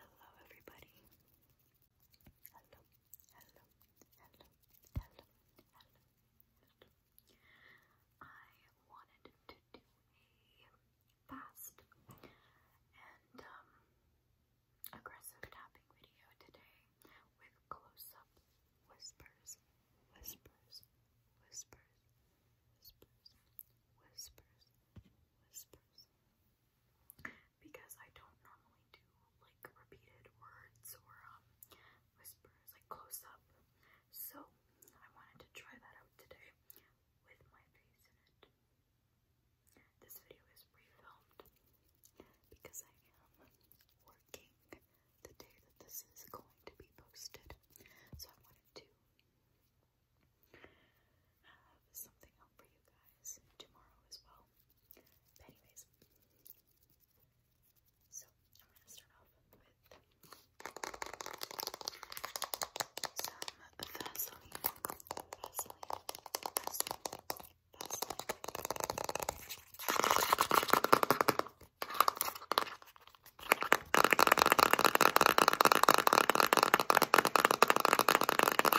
Hello, everybody. Hello, hello, hello, hello, hello. I wanted to do a fast and um, aggressive tapping video today with close-up whispers, whispers, whispers, whispers, whispers, whispers because I don't normally do like repeated words or um, whispers like close up. So I wanted to try that out today with my face in it. This video is pre-filmed because I am working the day that this is going to be posted. So I wanted to have something out for you guys tomorrow as well. anyways, so I'm gonna start off with some Vaseline.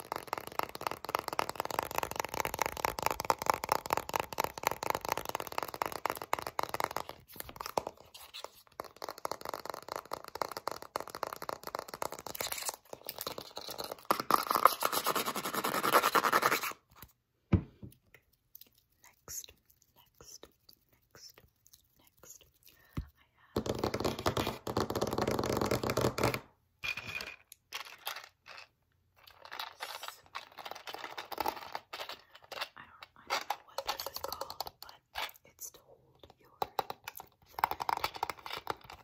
Next, next, next, next, I have I don't, I don't know what this is called, but it's to hold your thread.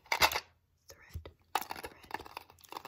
Thread, thread, thread, thread,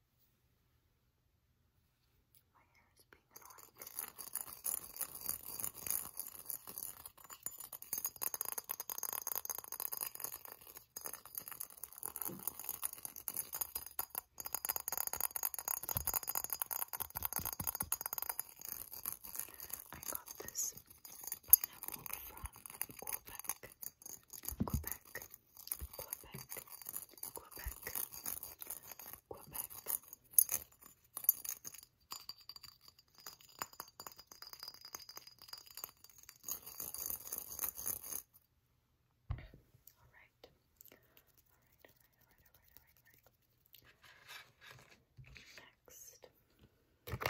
My hair is pink and orange. I got this pineapple from Quebec. Quebec. Quebec, Quebec, Quebec. All right. All right, all right, all right, all right, all right,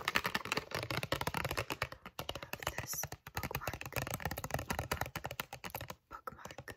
Next, I have this bookmark, bookmark, bookmark, bookmark.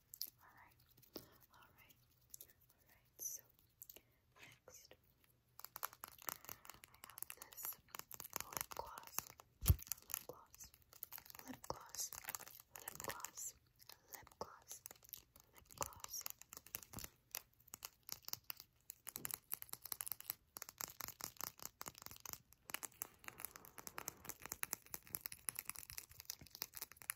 Alright, alright, alright, so next I have this lip gloss, lip gloss, lip gloss, lip gloss, lip gloss, lip gloss.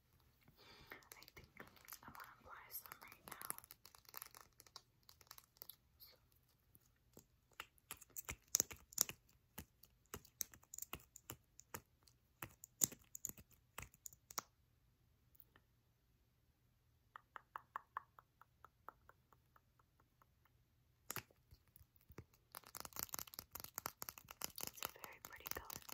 I think I'm to apply some right now. It's a very pretty color.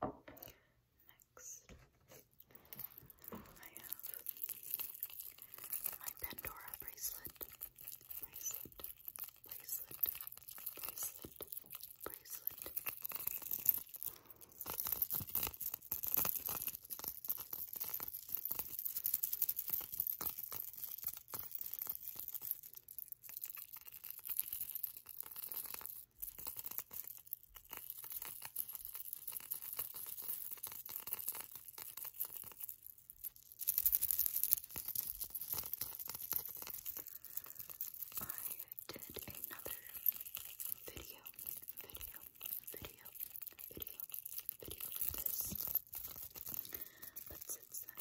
Okay. Next, I have my Pandora bracelet, bracelet, bracelet, bracelet, bracelet. I did another video, video, video, video, video of this. But since I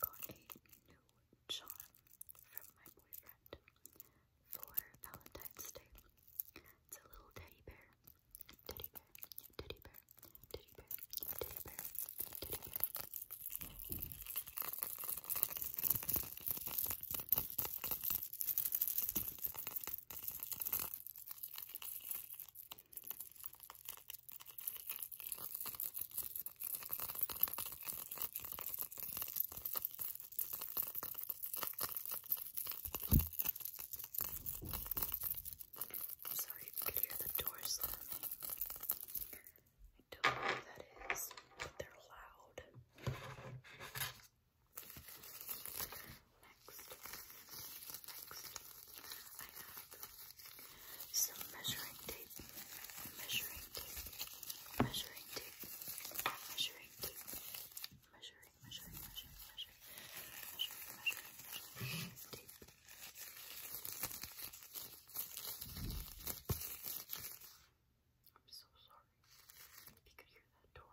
got a new charm from my boyfriend for Valentine's Day. It's a little teddy bear, teddy bear, teddy bear, teddy bear, teddy bear, teddy bear. Teddy bear. I'm sorry if you could hear the door slamming. I don't know what that is, but they're loud. Next, next, I have some measuring tape, measuring tape, measuring tape, measuring tape, measuring, measuring, measuring, measuring, measuring, tape. I'm so sorry if you could hear that door.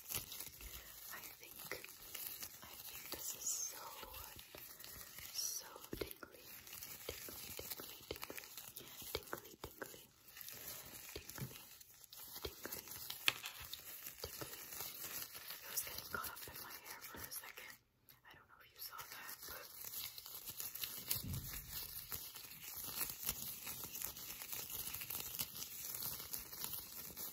I think, I think this is so, so tingly, tingly, tingly, tingly, tingly, tingly, tingly, tingly, tingly. It was getting caught up in my hair for a second. I don't know if you saw that,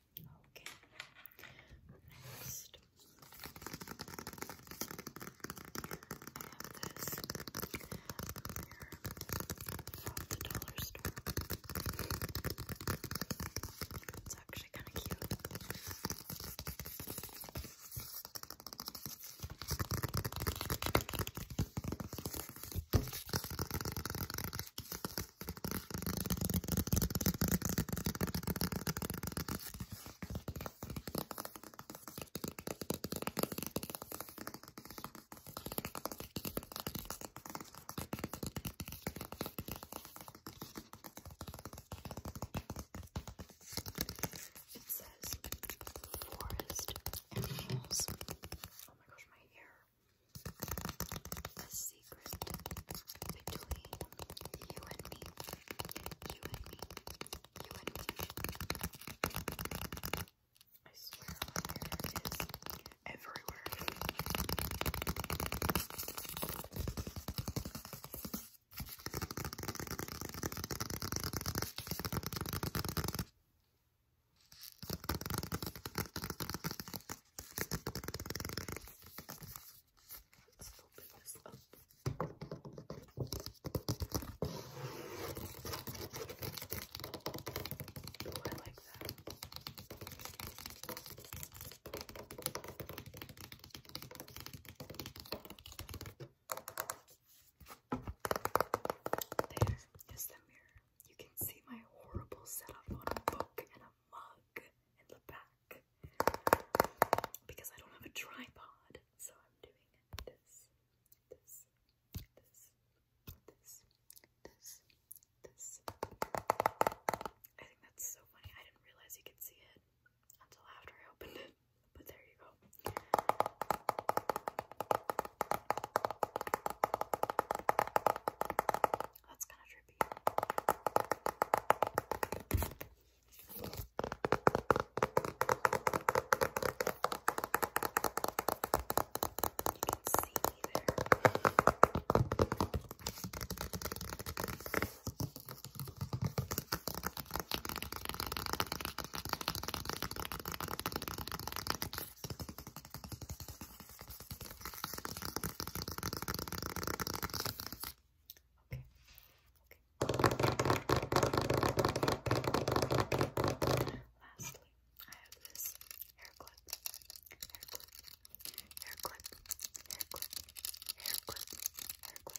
Okay. Next, this mirror from the dollar store. It's actually kind of cute. It says forest animals. Oh my gosh, my hair the secret between you and me. You and me. You and me. I swear my hair everywhere. Let's open this up. I like that. There is the mirror. You can see my horrible setup on a book and a mug in the back because I don't have a tripod, so I'm doing this, this, this, this, this, this. I think that's so funny. I didn't realize you could see it until after I opened it, but there you go. That's kind of trippy. You can see there. Okay. Lastly, I have this hair clip. Hair clip. Hair clip. Hair clip. Hair clip. Hair clip.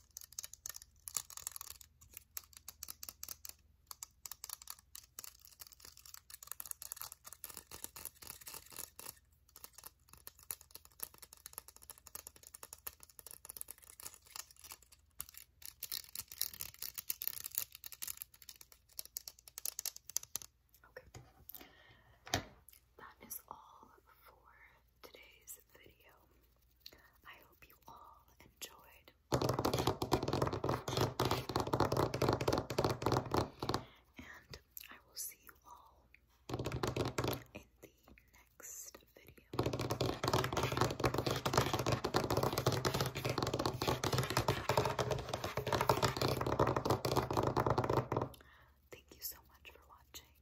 Okay. That is all for today's video. I hope you all enjoyed. And I will see you all in the next video. Thank you so much for watching.